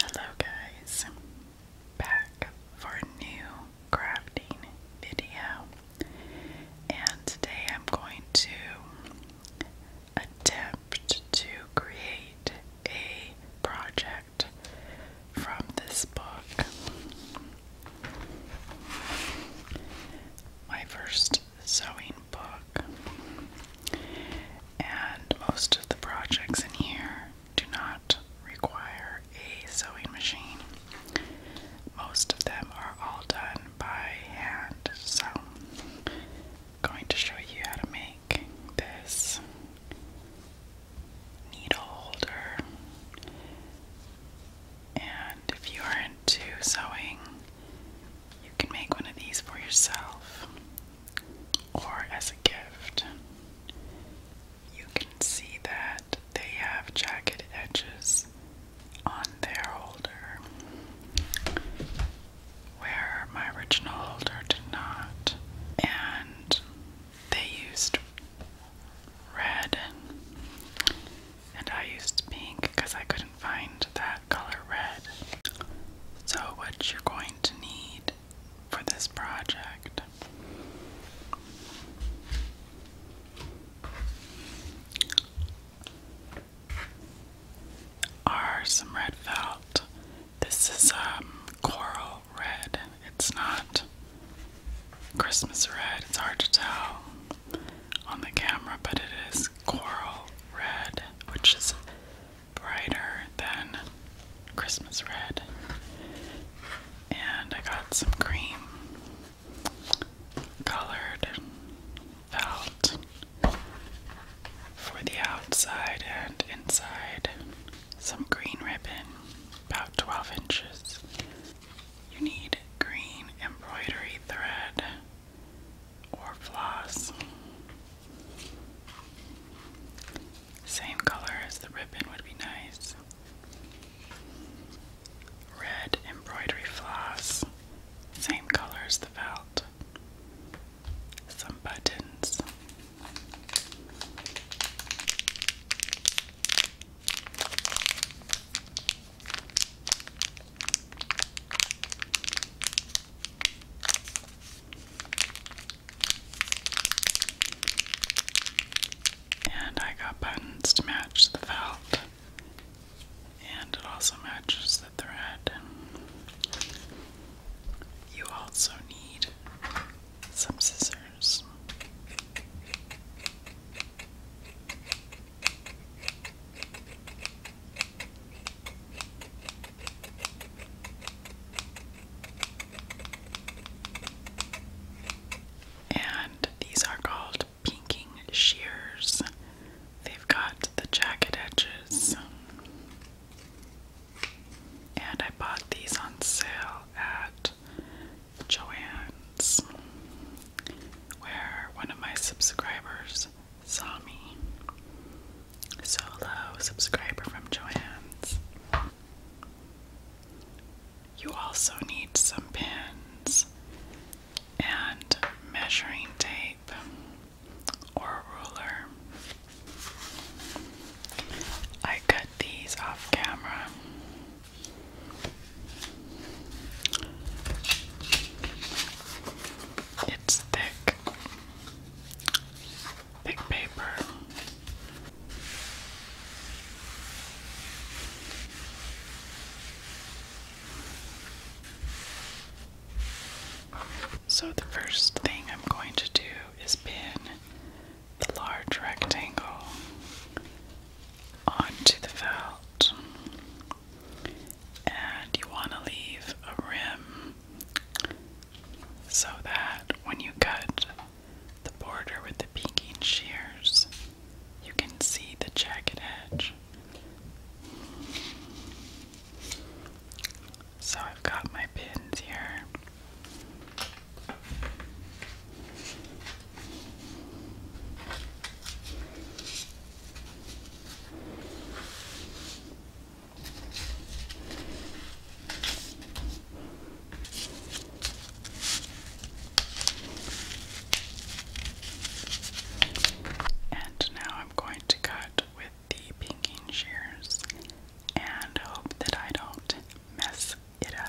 Hello guys, back for a new crafting video and today I'm going to attempt to create a project from this book. My first sewing book. And most of the projects in here do not require a sewing machine. Most of them are all done by hand, so going to show you how to make this needle holder. And if you are into sewing, you can make one of these for yourself or as a gift. You can see that they have jagged edges on their holder, where my original holder did not. And they used red and I used pink because I couldn't find that color red. So, what you're going to need for this project are some red felt this is um, coral red. It's not Christmas red. It's hard to tell on the camera, but it is coral red, which is brighter than Christmas red. And I got some cream colored felt for the outside and inside some green ribbon, about 12 inches. You need green embroidery thread or floss. Same color as the ribbon would be nice. Red embroidery floss, same color as the felt. Some buttons. And I got buttons to match the felt, and it also matches the thread. You also need some scissors. And these are called pinking shears. They've got the jagged edges. And I bought these on sale at Joann's, where one of my subscribers saw me. Solo subscriber from Joann's. You also need some pins and measuring tape or ruler. I cut these off camera. It's thick, thick paper. So, the first thing I'm going to do is pin the large rectangle onto the felt, and you want to leave a rim so that when you cut the border with the pinking shears, you can see the jagged edge. So I've got my pins here. And now I'm going to cut with the pinking shears and hope that I don't mess it up.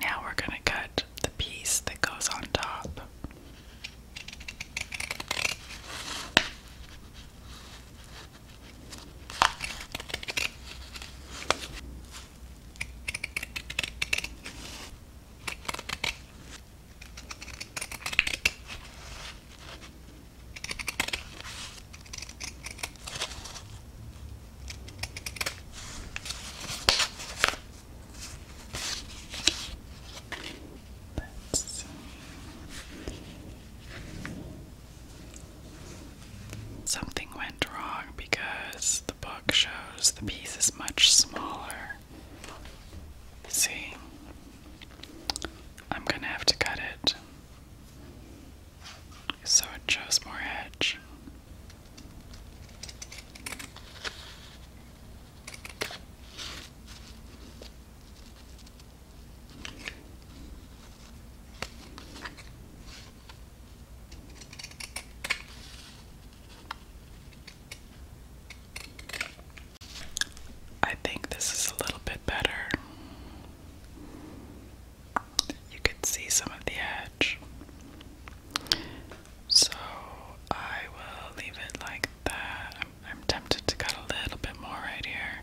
Now we're going to cut the piece that goes on top. Something went wrong because the book shows the piece is much smaller. See, I'm gonna have to cut it so it shows more edge. I think this is a little bit better. You could see some of the edge. So I will leave it like that. I'm, tempted to cut a little bit more right here.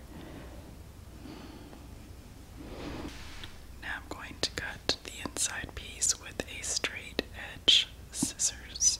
Now I'm going to cut the inside piece with a straight edge scissors.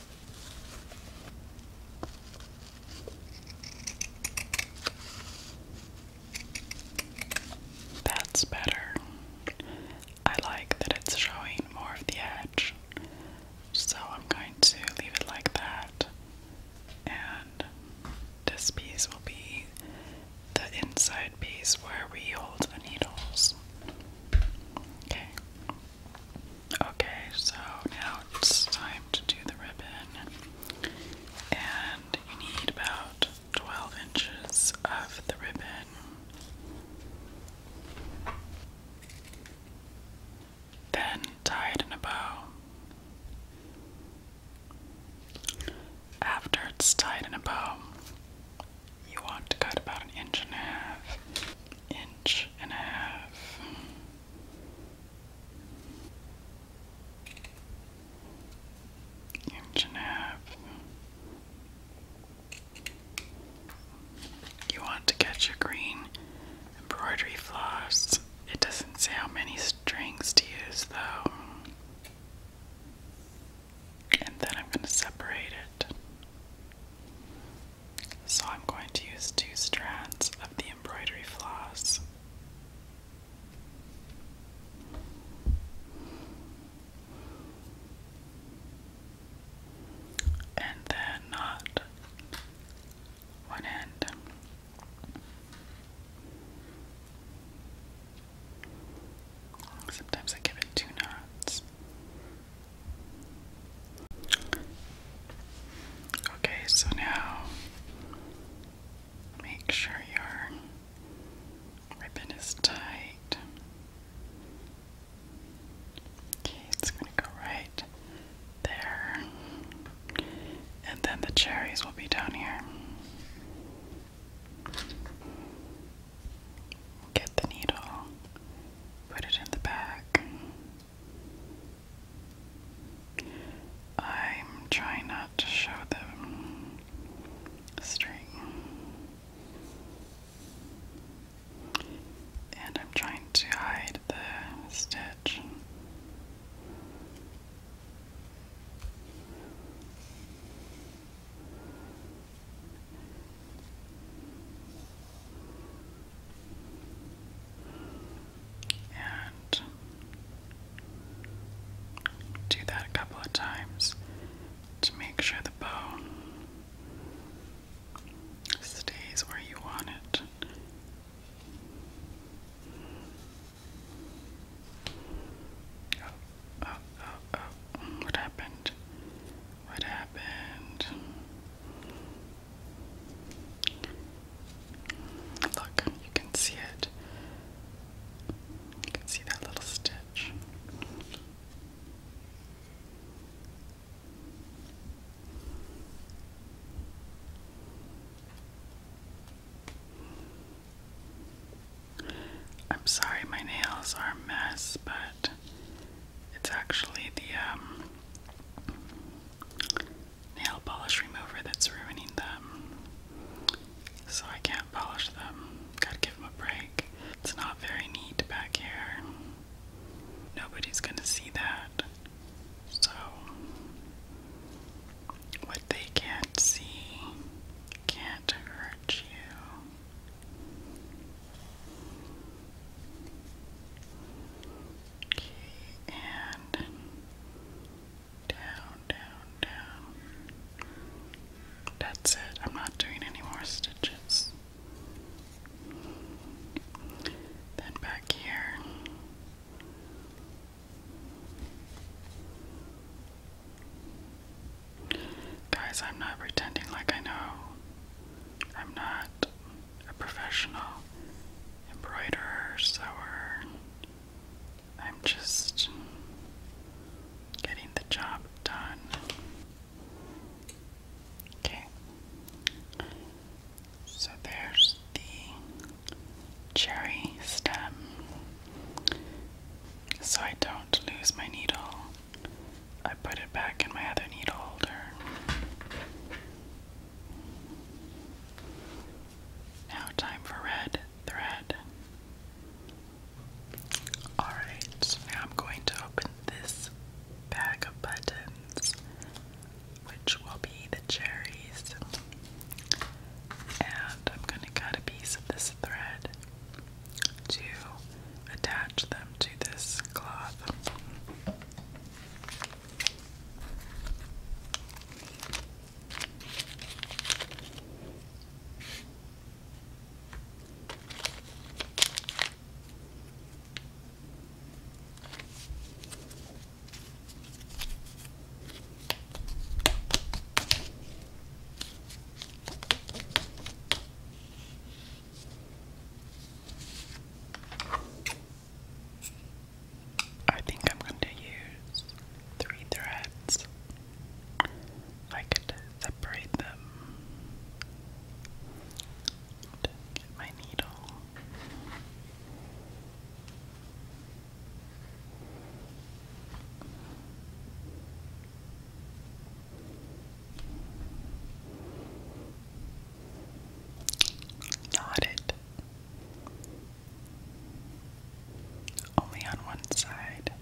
That's better. I like that it's showing more of the edge. So I'm going to leave it like that. And this piece will be the inside piece where we hold the needles. Okay. Okay, so now it's time to do the ribbon. And you need about 12 inches of the ribbon. Then tie it in a bow. After it's tied in a bow, you want to cut about an inch and a half, inch and a half, Inch and a half. You want to get your green embroidery floss. It doesn't say how many strings to use though. And then I'm going to separate it. So I'm going to use two strands of the embroidery floss. And then knot one end. Sometimes I give it two knots. Okay, so now make sure your ribbon is tight. Okay, it's going to go right there. And then the cherries will be down here. Get the needle, put it in the back. I'm trying not to show them string. And I'm trying to hide the stitch. And do that a couple of times to make sure the bow stays where you want it. Oh, oh, oh, oh. What happened? What happened? Look, you can see it. You can see that little stitch. I'm sorry my nails are a mess, but it's actually the um nail polish remover that's ruining them. So I can't polish them. Gotta give them a break. It's not very neat back here. Nobody's gonna see that. So, what they can't see can't hurt you. Okay, and down, down, down. That's it. I'm not doing any more stitches. Then back here. Guys, I'm not pretending like I know. I'm not a professional embroiderer, sewer. I'm just getting the job done. Okay. So there's the cherry stem. So I don't lose my needle I put it back in my other needle holder. Now, time for red thread. Alright, I'm going to open this bag of buttons, which will be the cherries. And I'm going to cut a piece of this thread to attach them to this cloth. I think I'm going to use three threads. I could separate them. Get my needle. Not it. Only on one side.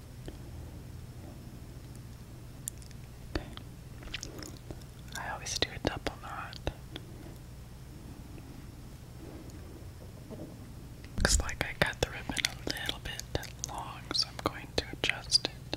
I always do a double knot. Looks like I got the ribbon a little bit long, so I'm going to adjust it.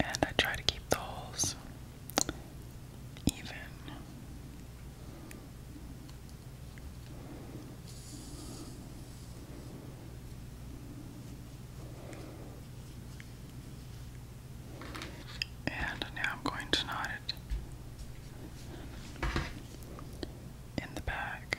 And I try to keep the even. And now I'm going to knot it in the back.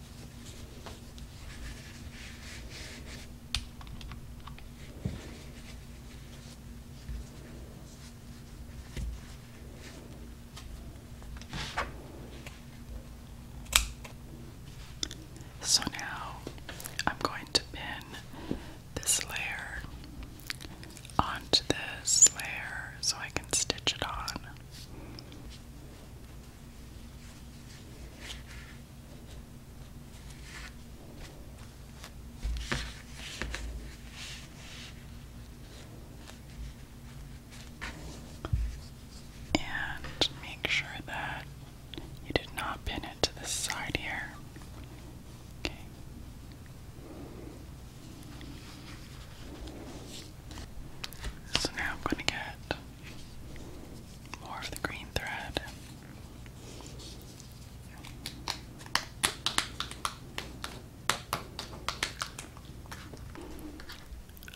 So now I'm going to pin this layer onto this layer so I can stitch it on. And make sure that you did not pin it to the side here. Okay. So now I'm going to get more of the green thread.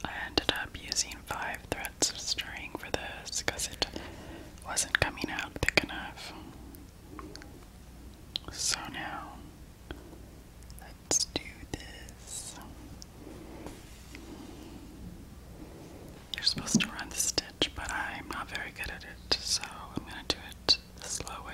I ended up using five threads of string for this because it wasn't coming out thick enough. So now Let's do this. You're supposed to run the stitch, but I'm not very good at it, so I'm going to do it the slow way.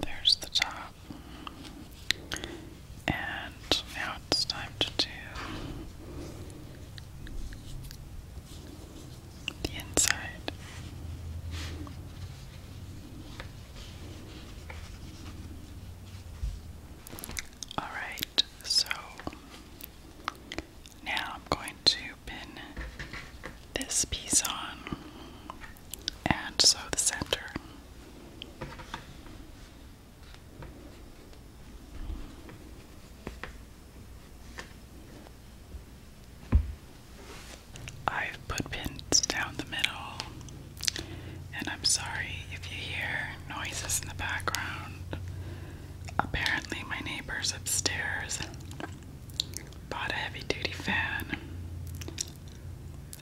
There's the top. And now it's time to do the inside. Alright, so now I'm going to pin this piece on and so the center. I've put pins down the middle, and I'm sorry if you hear noises in the background. Apparently, my neighbors upstairs bought a heavy duty fan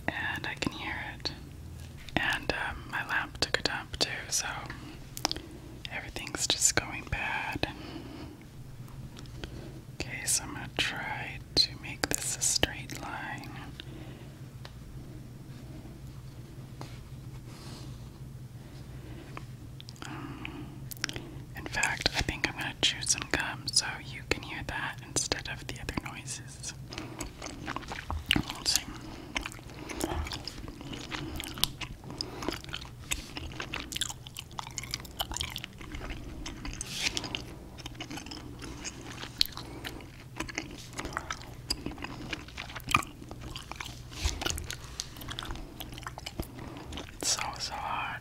and I can hear it. And um, my lamp took a dump too, so everything's just going bad. Okay, so I'm gonna try to make this a straight line. Um, in fact, I think I'm going chew some gum so you can hear that instead of the other noises. So, so hard.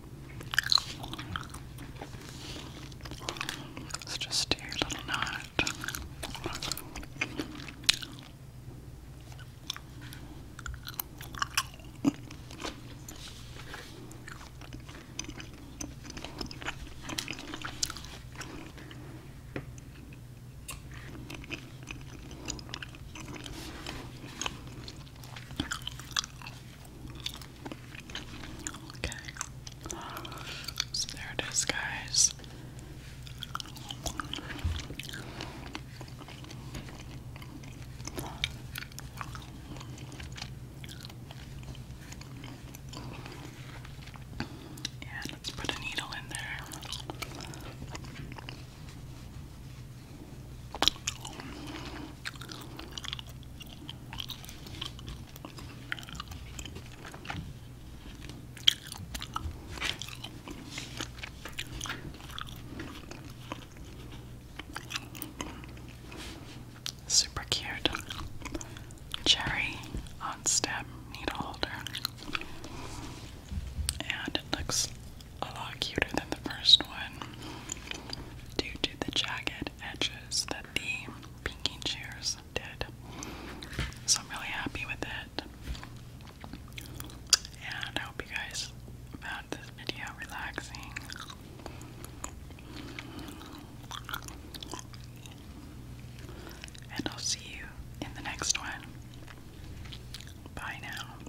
Let's just do a little knot. Okay. So there it is, guys. And let's put a needle in there. Super cute cherry on stem needle holder, and it looks a lot cuter than the first one due to the jagged edges that the pinky chairs did. So I'm really happy with it. And I hope you guys found this video relaxing. And I'll see you in the next one. Bye now.